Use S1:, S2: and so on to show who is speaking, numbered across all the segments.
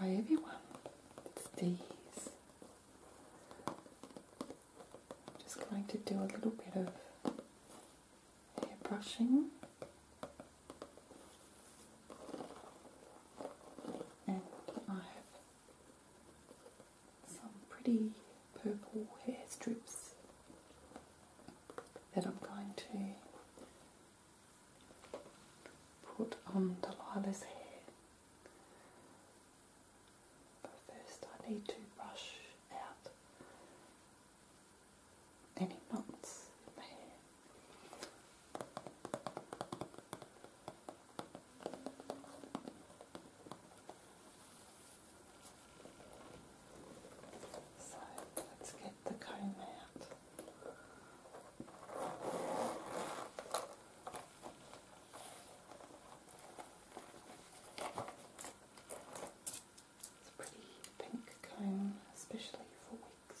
S1: Hi everyone, it's am Just going to do a little bit of hair brushing. And I have some pretty purple hair strips that I'm going to put on Delilah's hair. But first I need to brush out any knots in the hair. So let's get the comb out. It's a pretty pink comb, especially for wigs.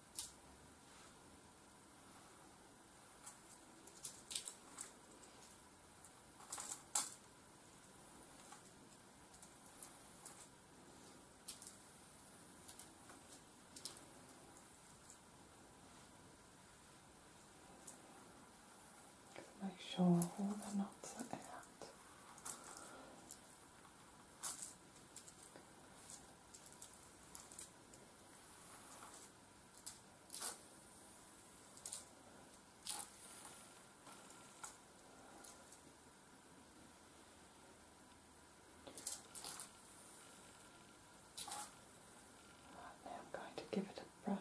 S1: Make sure all the knots are out. Now I'm going to give it a brush.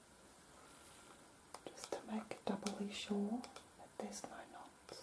S1: just to make doubly sure that there's no knots.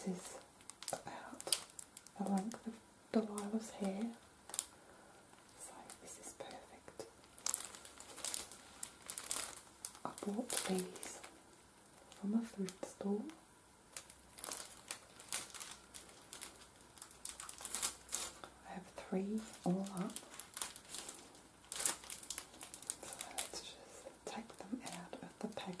S1: So this is about the length of the Lila's hair. So this is perfect. I bought these from a thrift store. I have three all up. So let's just take them out of the package.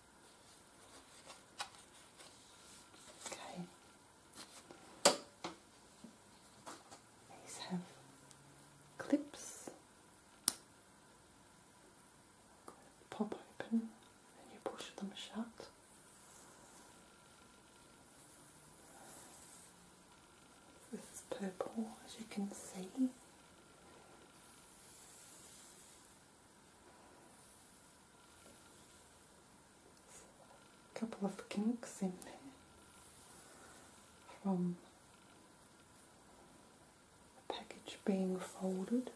S1: Okay. These have clips. Pop open and you push them shut. This purple, as you can see. A couple of kinks in there from the package being folded.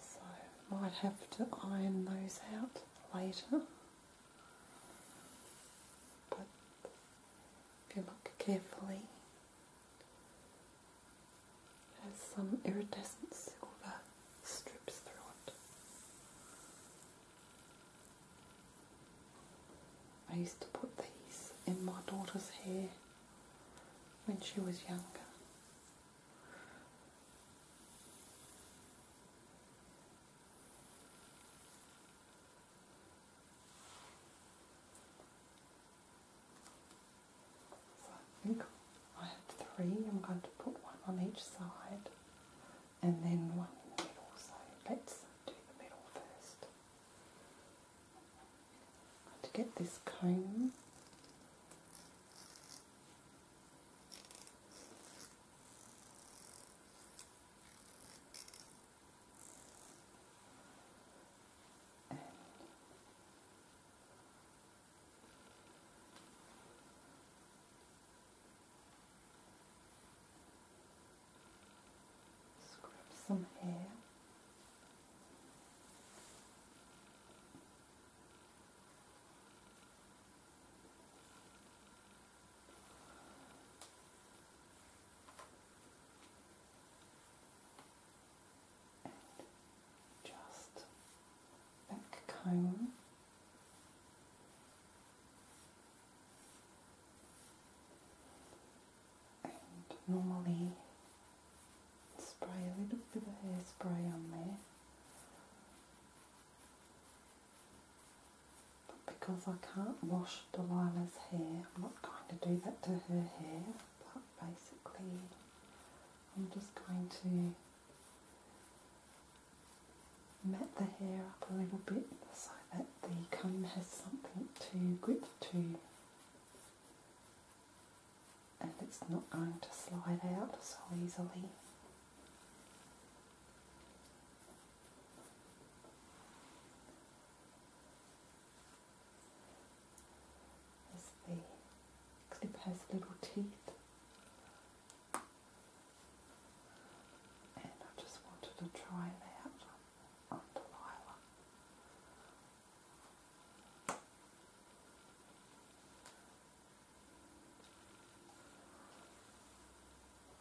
S1: So might have to iron those out later. But if you look carefully, it has some iridescent silver strips through it. I used to put these in my daughter's hair when she was younger. So I think I have three. I'm going to put one on each side and then one in the middle. So let's do the middle first. To get this comb and some hair just back comb. And normally spray a little bit of hairspray on there but because I can't wash Delilah's hair, I'm not going to do that to her hair, but basically I'm just going to mat the hair up a little bit so that the comb has something to grip to and it's not going to slide out so easily. As the clip has little teeth. And I just wanted to try it on Delilah.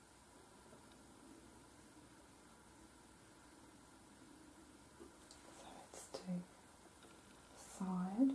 S1: So let's do side.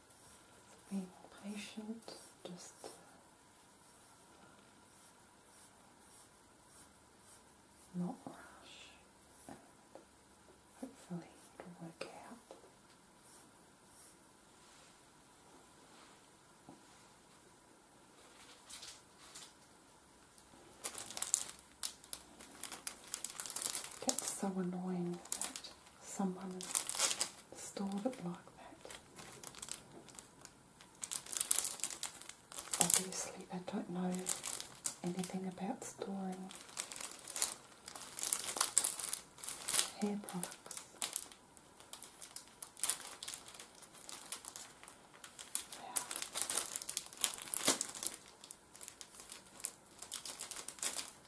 S1: being patient, just uh, not rush, and hopefully it'll work out. That's so annoying that someone stored it like that. Obviously, they don't know anything about storing hair products. Yeah.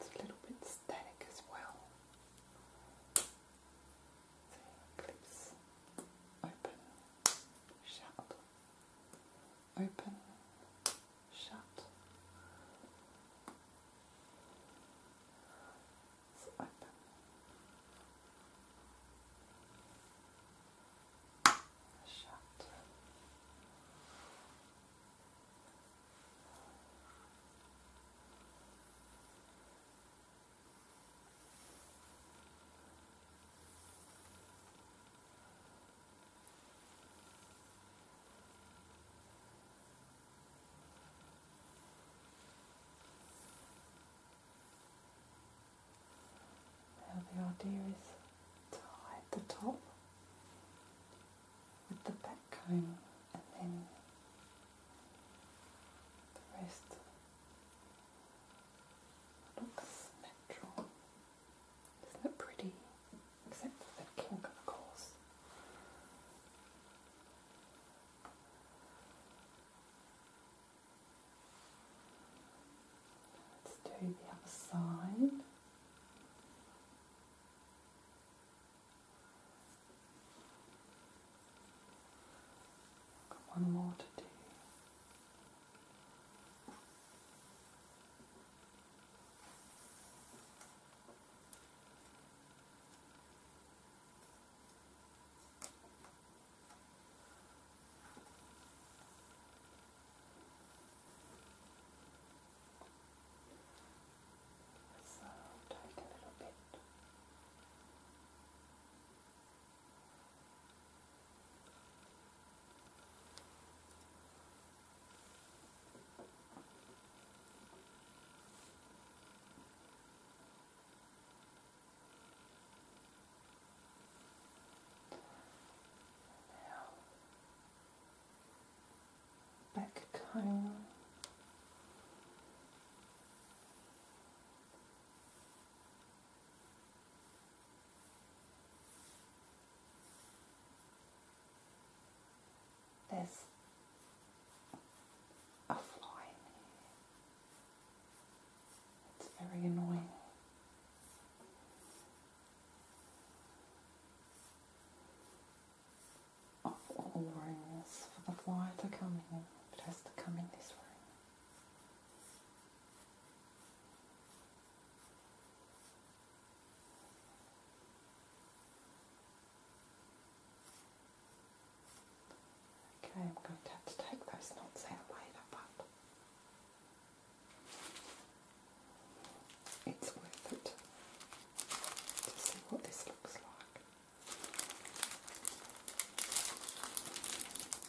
S1: It's a little bit static as well. So clips open shut, open, shut. It's Shut. Now the idea is to hide the top with the back comb and then the rest Looks natural. Isn't it pretty? Except for the kink, of course. Let's do the other side. Got one more to do. So um, take a little bit back comb. There's a fly It's very annoying. all rooms for the fly to come in, it has to come in this room. Okay, I'm going to have to take those knots out later, but it's worth it to see what this looks like.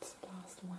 S1: It's the last one.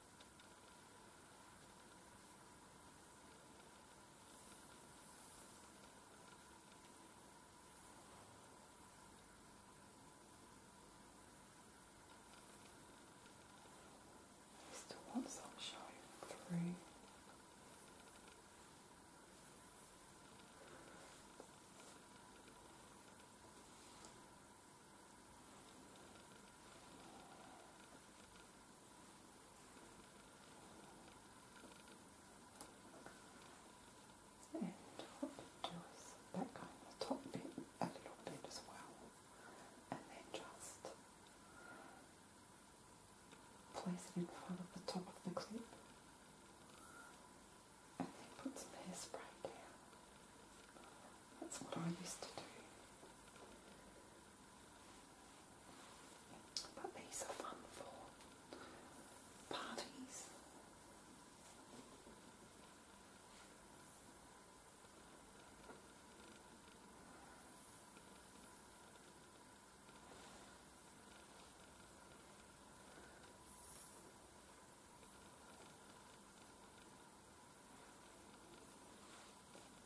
S1: Still want sunshine through. And what you do is that kind of top bit a little bit as well, and then just place it in front of the top of the clip, and then put some hairspray down. That's what I used to do. But these are fun for parties.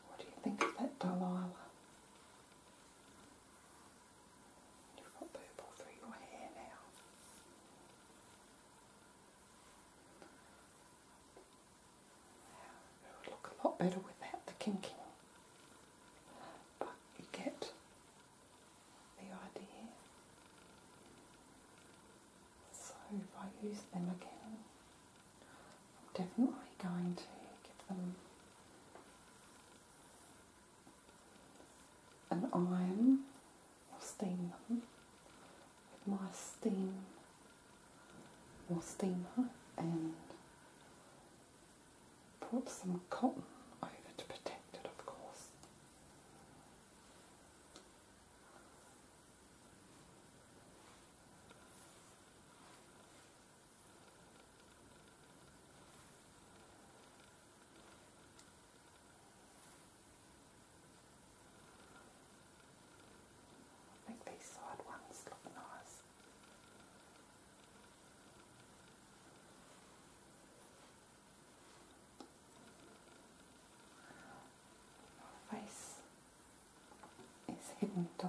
S1: What do you think of that Delilah? You've got purple through your hair now. It would look a lot better without the kinking. But you get the idea. So if I use them again, I'm definitely going to give them an iron or steam them with my steam or steamer and put some cotton over to protect it of course. I think these side ones look nice. Your face is hidden to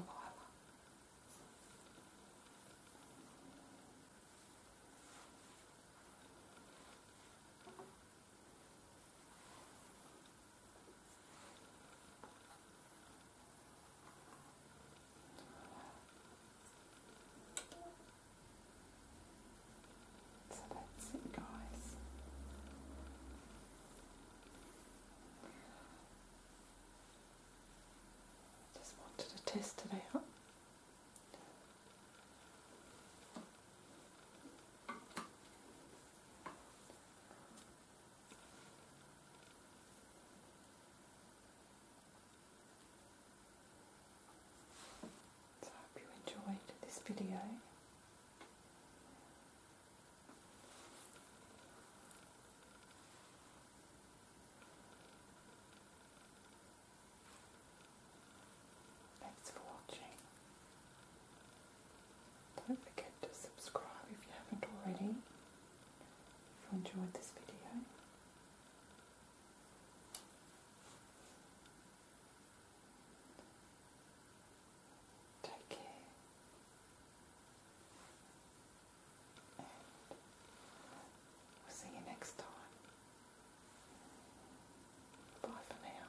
S1: so that's it, guys. Just wanted to test today out. So I hope you enjoyed this video. Thanks for watching. Don't forget to subscribe if you haven't already, if you enjoyed this video. Take care. we'll see you next time. Bye for now.